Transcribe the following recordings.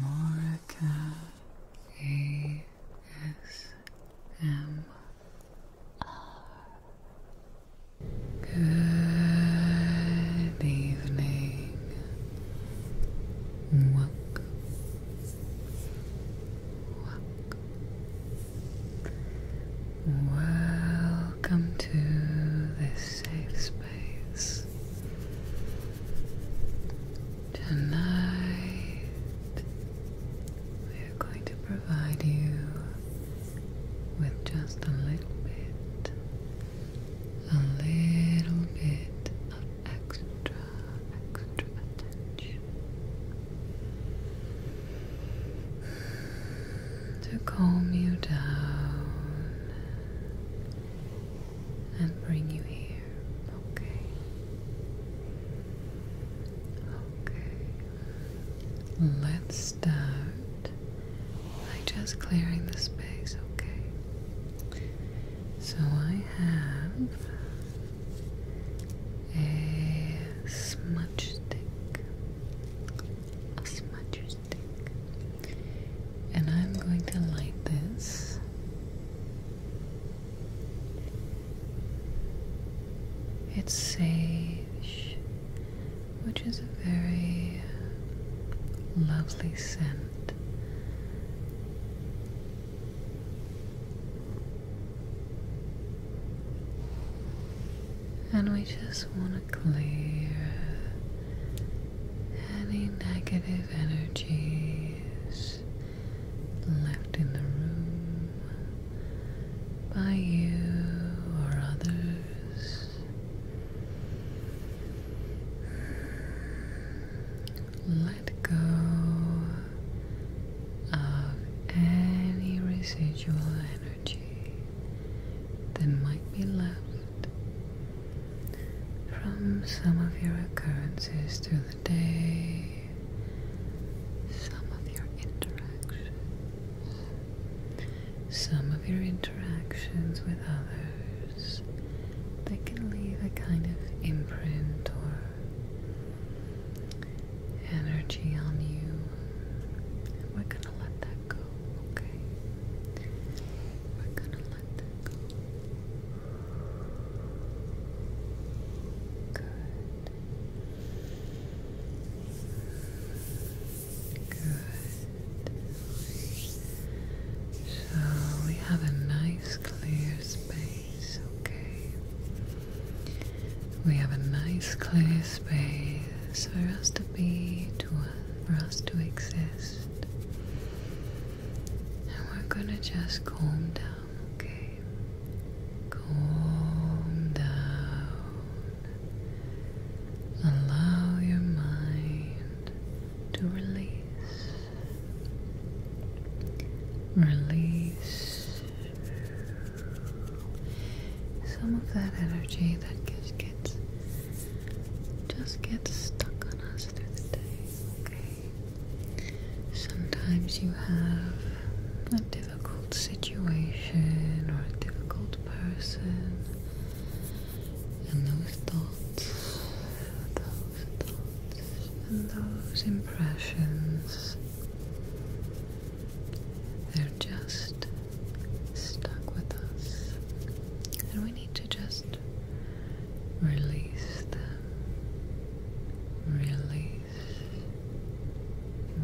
Morika ASMR. Good evening. Welcome. Welcome. Welcome to this safe space. Tonight, we are going to provide you with just a little bit, a little bit of extra, extra attention to calm you down and bring you here. Okay. Okay. Let's start by just clearing the space, okay? So I have a smudge stick. A smudge stick and I'm going to light this. It's sage, which is a very lovely scent. And we just want to clear any negative energies left in the room by you or others. Let go of any residual energy that might be left from some of your occurrences through the day, some of your interactions, some of your interactions with others that can leave a kind of imprint or energy on you. we're gonna let that go, okay? We're gonna let that go. Good. So we have a nice clear space, okay? We have a nice clear space for us to be, to for us to exist. And we're gonna just calm down, okay? Calm down. Allow your mind to release. Release some of that energy that just gets just gets stuck on us through the day. Okay. Sometimes you have a difficult situation or a difficult person, and those thoughts, those thoughts, and those impressions, they're just stuck with us. And we need need to just release Release,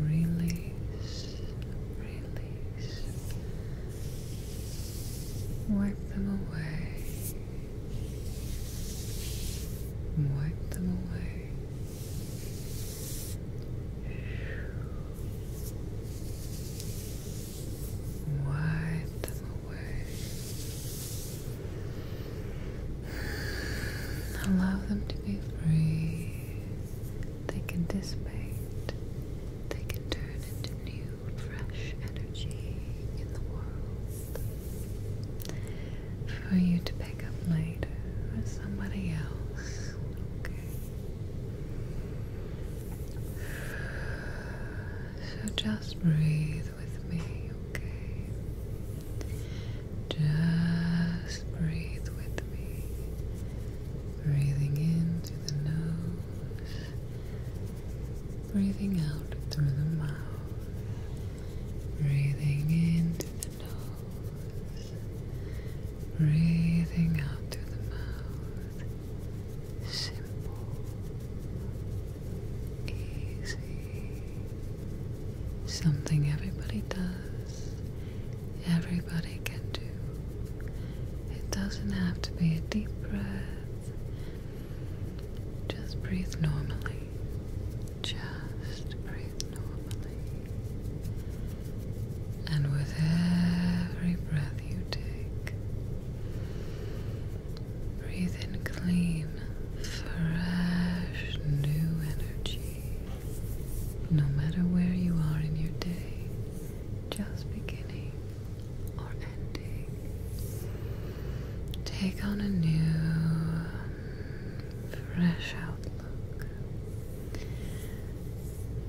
release, release. Wipe them away. Wipe them away. Wipe them away. Allow them to be free. They can dissipate. They can turn into new, fresh energy in the world for you to pick up later with somebody else. Okay. So just breathe with me, okay? Just breathe with me. Breathing in through the nose, breathing out through the mouth. Breathing in through the nose, breathing out through the mouth. Simple easy. Something everybody does, everybody can do. It doesn't have to be a deep breath. Just breathe normally. Just breathe normally. And with every breath you take, Breathe in clean, fresh, new energy. No matter where you are in your day, just beginning or ending, take on a new, fresh outlook.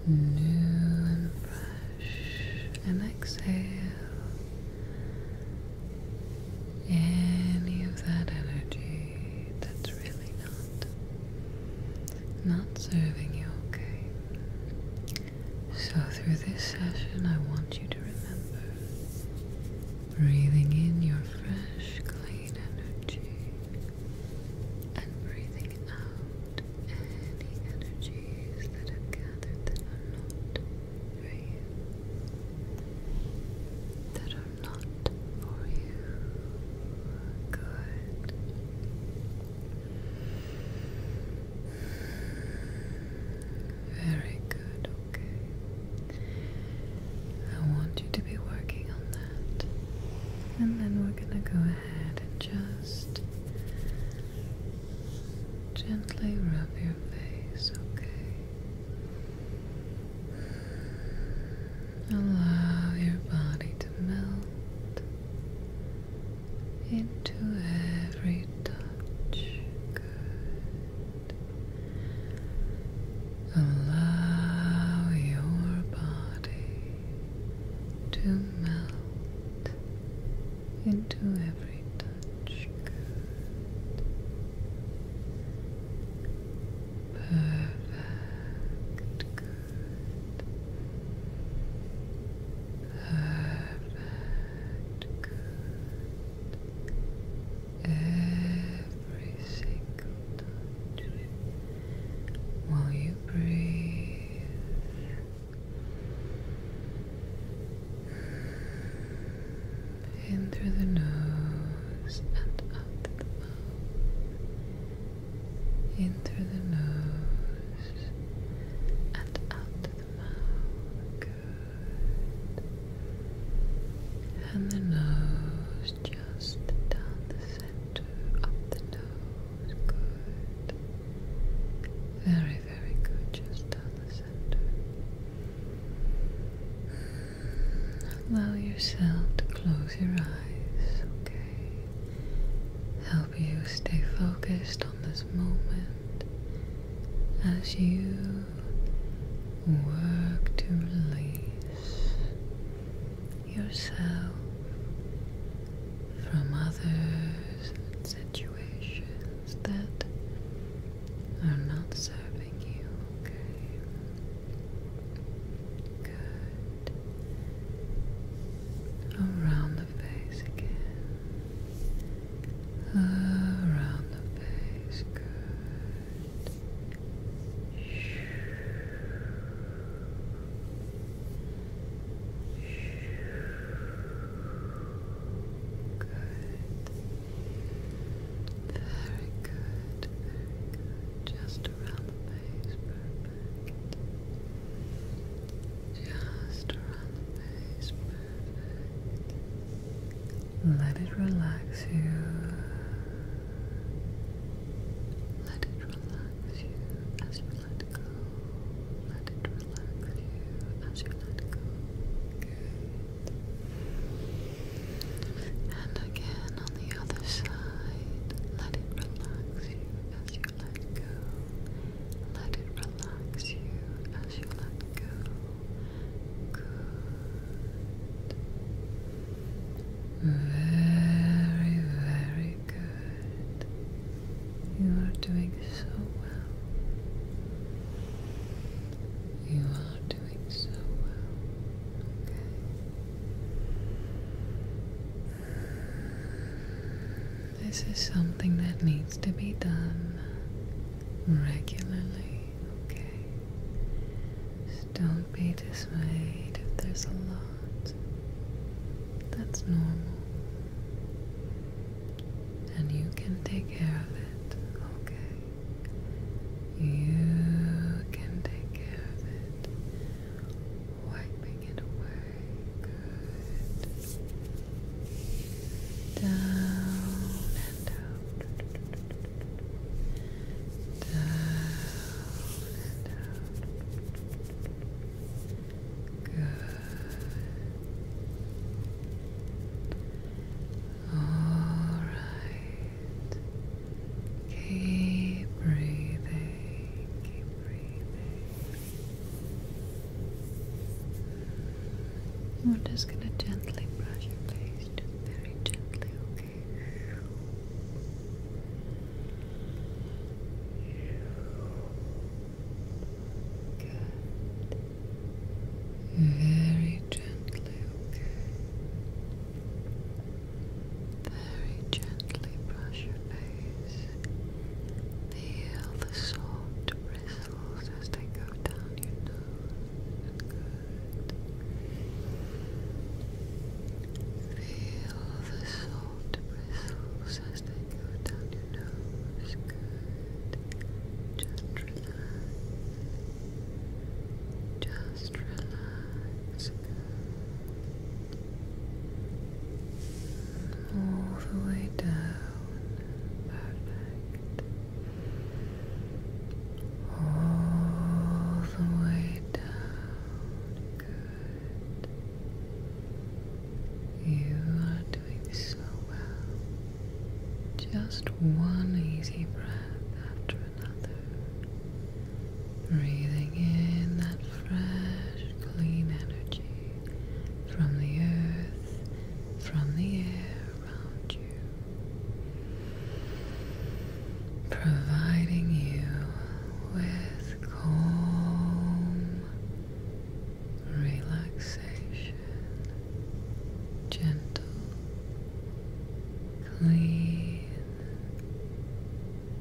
New and fresh, and exhale any of that energy that's really not not serving you okay so through this session I want you to remember breathing in your fresh clean energy and breathing out any energies that have gathered that are not for you that are not for you. Good. Very good, okay. I want you to be working on that. And then we're going to go ahead and just gently rub your face, okay? Allow your body to melt into every touch. Allow your body to melt into every every touch. Perfect. Perfect. Every single touch. While you breathe. In through the nose and out through the mouth. In through the nose and out through the mouth. Good. And the nose just down the center, up the nose. Good. Very, very good. Just down the Allow yourself to close your eyes, okay? Help you stay focused on this moment as you work to release yourself from others and you situations that are not serving you, okay? Good. Around the face again. Around the face, good. Good. Very good, very good. Just around the face, perfect. Just around the face, perfect. Let it relax you. Let it relax you as you let go. Let it relax you as you let go. And again on the other side, let it relax you as you let go. Let it relax you as you let go. Good. Very, very good. You are doing so well. You are this is something that needs to be done regularly, okay? don't be dismayed if there's a lot. That's normal. And you can take care of it, okay? You can take care of it. Wiping it away. Good. Down and out. Down and out. Good. All right. Keep breathing. We're just gonna gently brush your face, just very gently, okay? Good. Very gently, okay. Very gently brush your face. Feel the soft bristles as they go down your nose. Good. Feel the soft bristles as they go down your nose. Good. Just relax. Just relax. All the way down. Perfect. All the way down. Good. You are doing so well. Just one easy breath after another. Breathing in that fresh, clean energy from the earth, from the air around you, providing you with calm relaxation gentle, clean,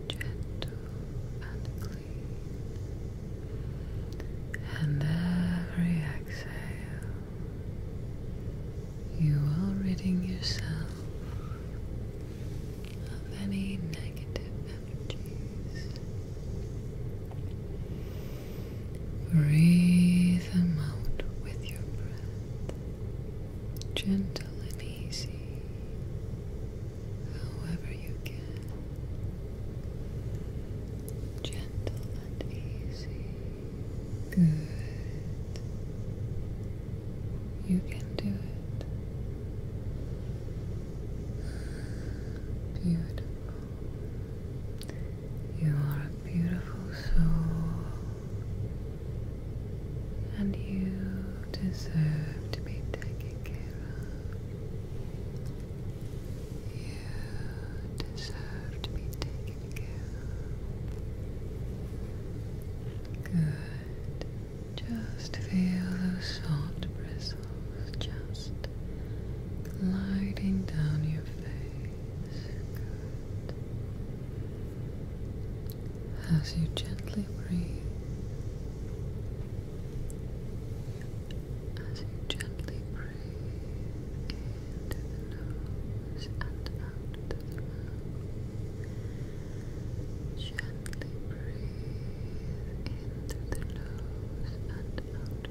gentle and clean. And every exhale, you are ridding yourself of any negative energies. Breathe them out with your breath, gentle and easy, however you can. Gentle and easy. Good. You can do it. Beautiful. You are a beautiful soul, and you deserve to be taken care of. You deserve to be taken care of. Good. Just feel those soft bristles just gliding down your face as you gently breathe, as you gently breathe into the nose and out Gently breathe in the nose and out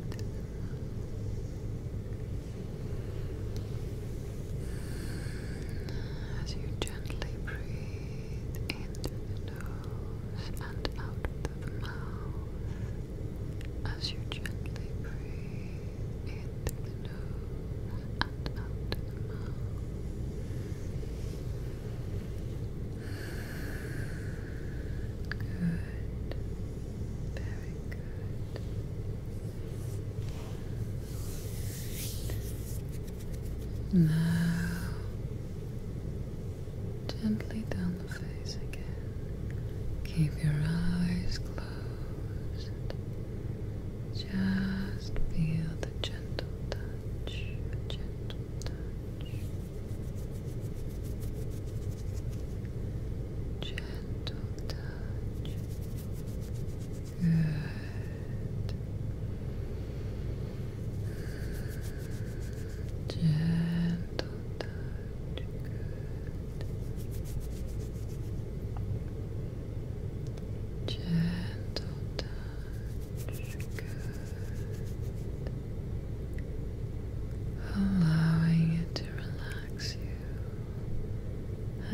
as you gently breathe in through the nose and out through the mouth, as you gently breathe in through the nose and out through the mouth. Good, very good. Now, gently down the face again. Keep your eyes closed. Just feel the gentle touch, gentle touch gentle touch. Good. Gentle touch. Gentle touch. Good. Allowing it to relax you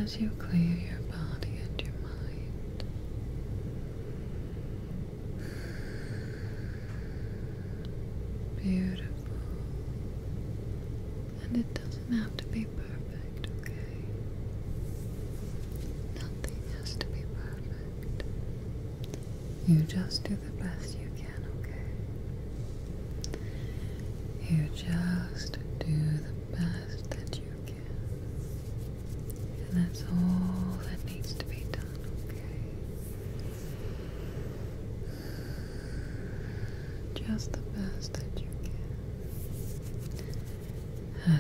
as you clear your body and your mind. Beautiful. And it doesn't have to be perfect, okay? Nothing has to be perfect. You just do the best you can, okay? You just do the best that you can. And that's all that needs to be done, okay? Just the best that you can.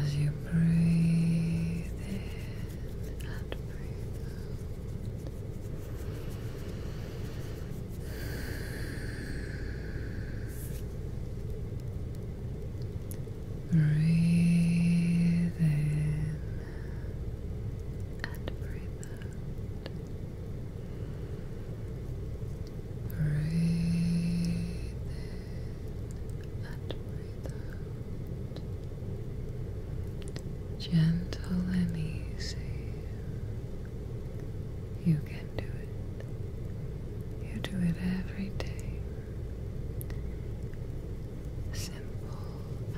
As you breathe in and breathe out. Breathe in and breathe out. Breathe in and breathe out. Gentle and easy. You can do it. You do it every day. Simple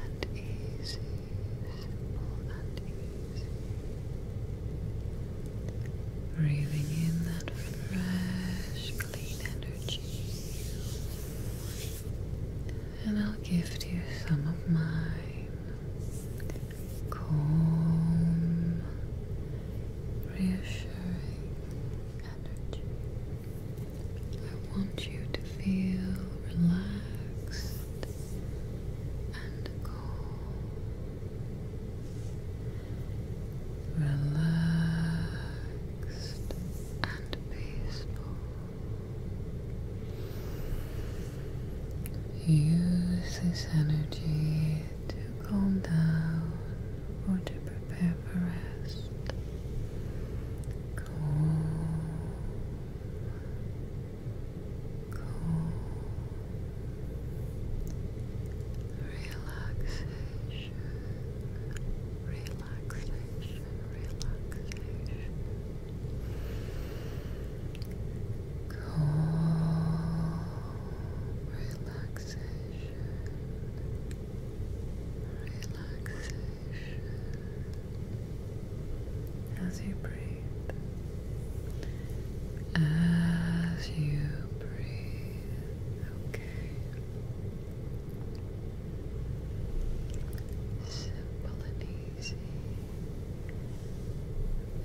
and easy. Simple and easy. Breathing in that fresh, clean energy. And I'll gift you some of mine calm, reassuring energy. I want you to feel relaxed and calm, relaxed and peaceful. Use this energy to calm down or to prepare for rest. Calm, calm, relaxation, relaxation, relaxation. Calm relaxation, relaxation as you breathe, as you breathe, okay. Simple and easy.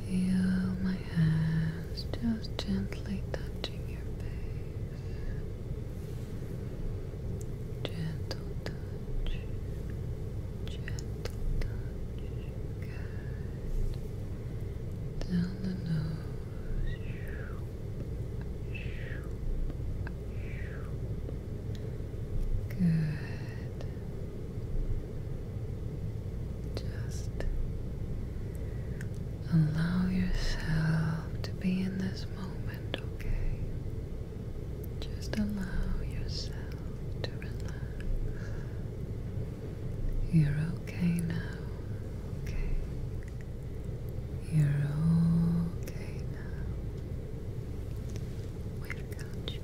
Feel my hands just gently touching your face. Gentle touch. Gentle touch. Good. Down the nose. Good. Just allow yourself to be in this moment, okay? Just allow yourself to relax. You're okay now, okay? You're okay now. We've got you.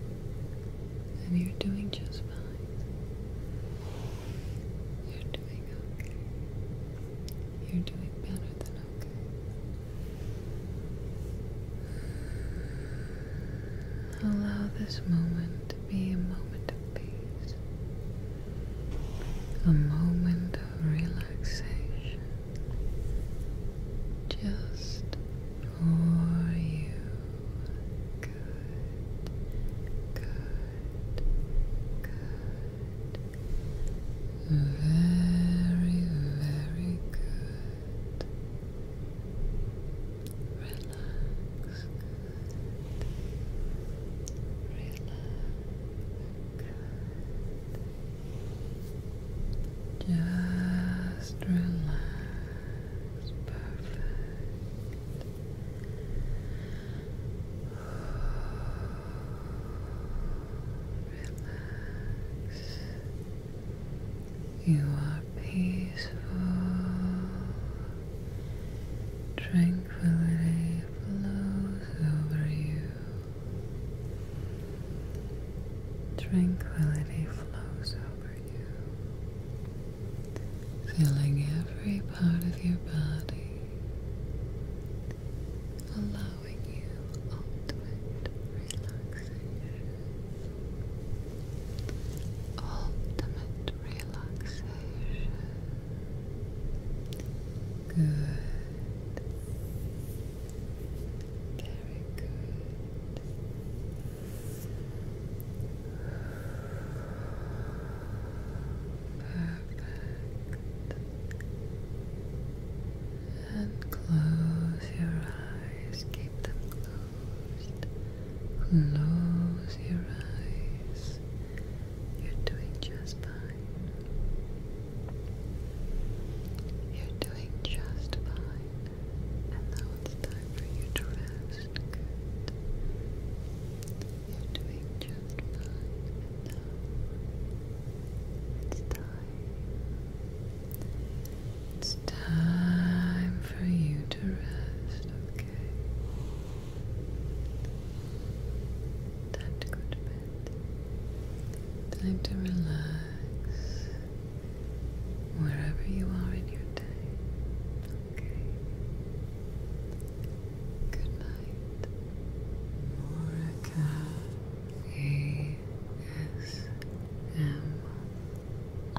And you're doing just fine. You're doing okay. You're doing better than okay. Allow this moment to be a moment of peace, a moment of relaxation just for you. Good. Good. Good. Very, very good. Relax. Relax. Good. Just relax. Perfect. You are peaceful. Tranquility flows over you. Tranquility flows over you. Filling every part of your body, allowing you ultimate relaxation. Ultimate relaxation. Good. Very good. Perfect. And close your eyes. Keep them closed. Close your eyes. You're doing just fine. You're doing just fine. And now it's time for you to rest it's time. It's time for you to rest, okay? Time to go to bed. Time to relax. Wherever you are in your day, Okay. Good night. Moraka A S M R